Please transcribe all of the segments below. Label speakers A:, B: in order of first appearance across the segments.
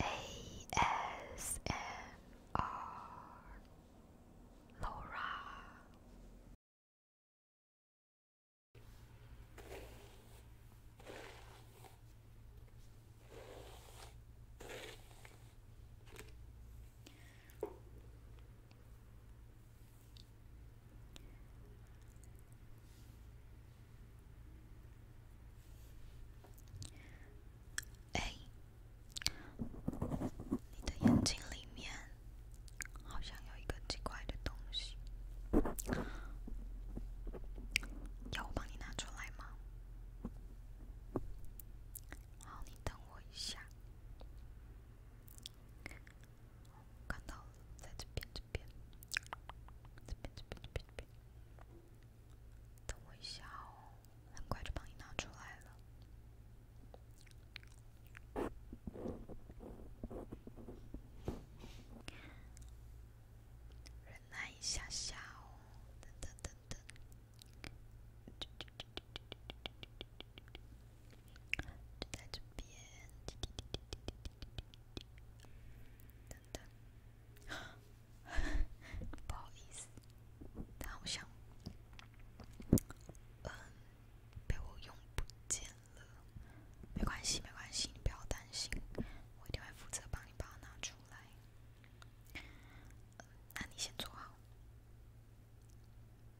A: A S N R. Laura 哎，你的眼睛里面好像有一个奇怪的东西，要我帮你拿出来吗？好，你等我一下，看到在这边，这边，这边，这边，这边。等我一下哦，很快就帮你拿出来了。忍耐一下下哦，等等等等。不好意思，它好像，嗯，被我用不见了。没关系，没关系，你不要担心，我一定会负责帮你把它拿出来。那你先坐好，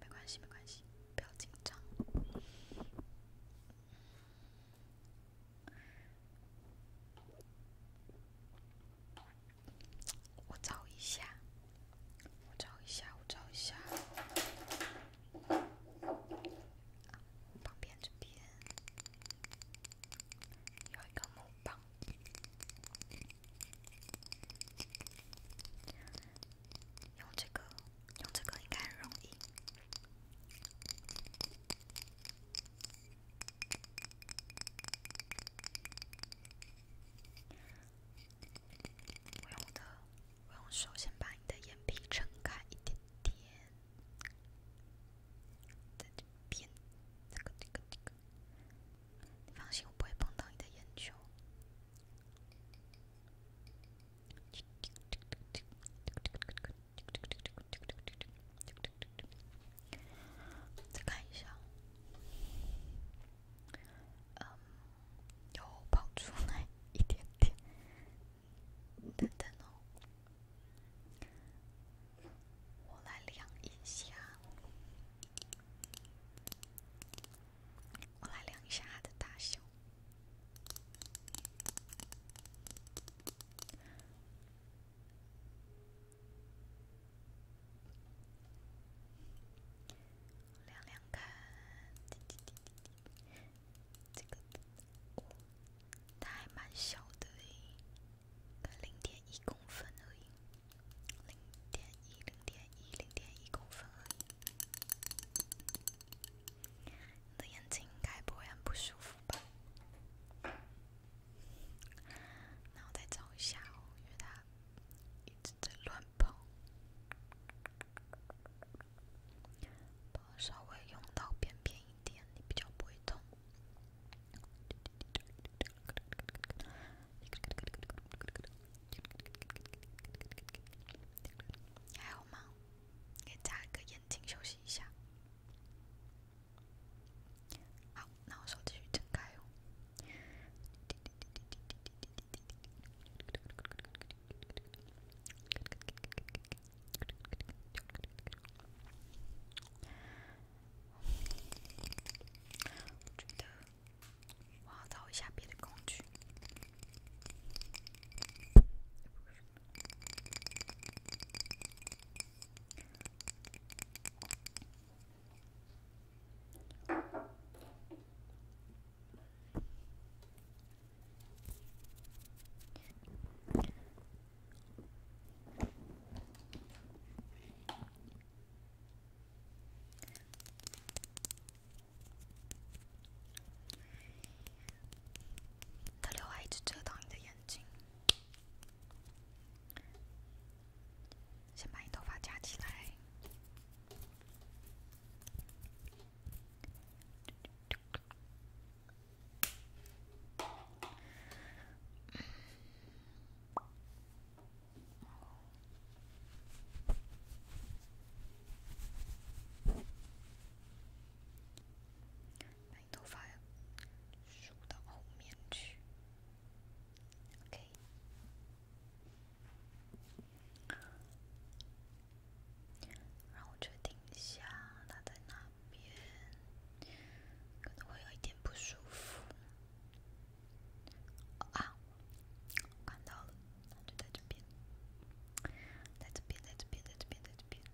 A: 没关系，没关系，不要紧张。我找一下，我找一下，我找一下。旁边这边有一个木棒，用这个，用这个应该容易。我要的，我用手先把你的眼皮撑开一点点，再偏这个这个这个。你放心，我不会碰到你的眼球。再看一下，嗯，又跑出来一点点，等等哦，我来量一下，我来量一下它的大小。量量看，这个，它还蛮小的诶，才公分而已，零点一，零点一，公分而已。你的眼睛开播很不舒服。那我再找一下哦，因为它一直在乱碰。稍微用到边边一点，你比较不会痛。还有吗？可以眨一个眼睛休息一下。好，那我手继续睁开哦。我觉得我要找一下别的工具。太阳一直遮挡你的眼睛。先把你头发夹起来。头发梳到后面去。OK，让我确定一下，它在哪边？可能会有一点不舒服。啊，看到了，就在这边，在这边，在这边，在这边，在这边。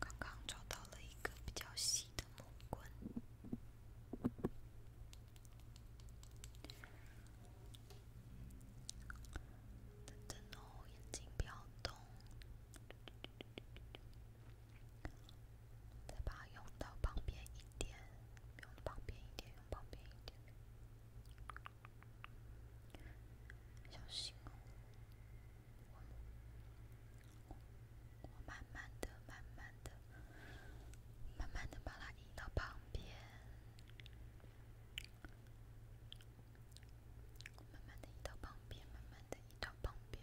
A: 刚刚找到了一个比较细的木棍。等等哦，眼睛不要动，再把它用到旁边一点。用旁边一点，用旁边一点，小心哦！我慢慢的、慢慢的、慢慢的把它移到旁边，慢慢的移到旁边，慢慢的移到旁边。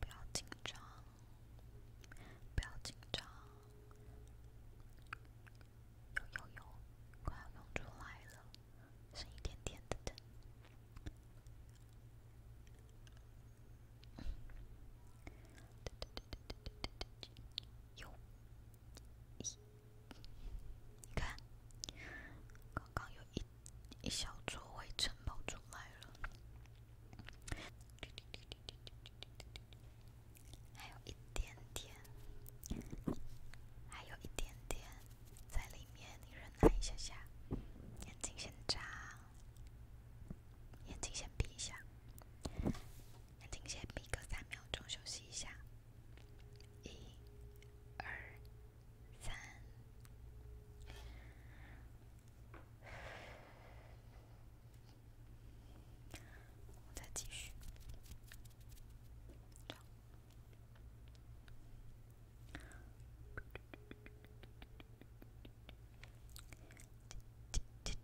A: 不要紧张，不要紧张，有有有，快要涌出来了，剩一点点的灯。有，一，你看，刚刚有一一小撮灰尘冒出来了，还有一点点，还有一点点在里面，你忍耐一下下，眼睛先眨，眼睛先闭一下。眼镜先闭个三秒钟休息一下，一、二、三，再继续。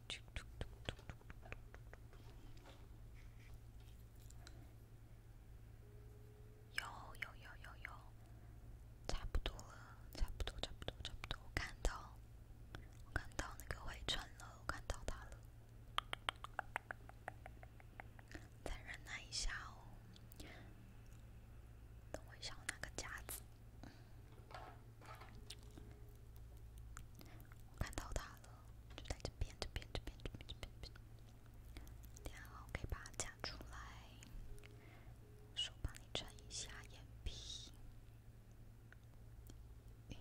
A: 有有有有有，差不多了，差不多差不多差不多，我看到，我看到那个蛔虫了，我看到它了，再忍耐一下哦，等我一下我拿个夹子，我看到他了。就在这边，这边，这边，这边，这边，然后可以把它夹出来。手帮你撑一下眼皮，你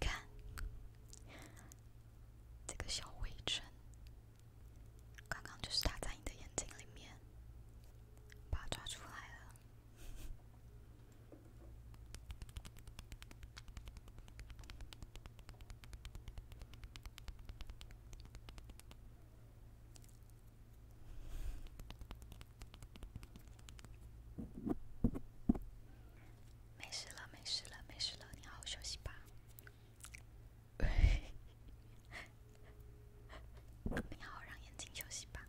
A: 看这个小灰尘，刚刚就是它在你的眼睛里面，把它抓出来了。没事了，没事了，没事了，你好好休息吧。你好，让眼睛休息吧。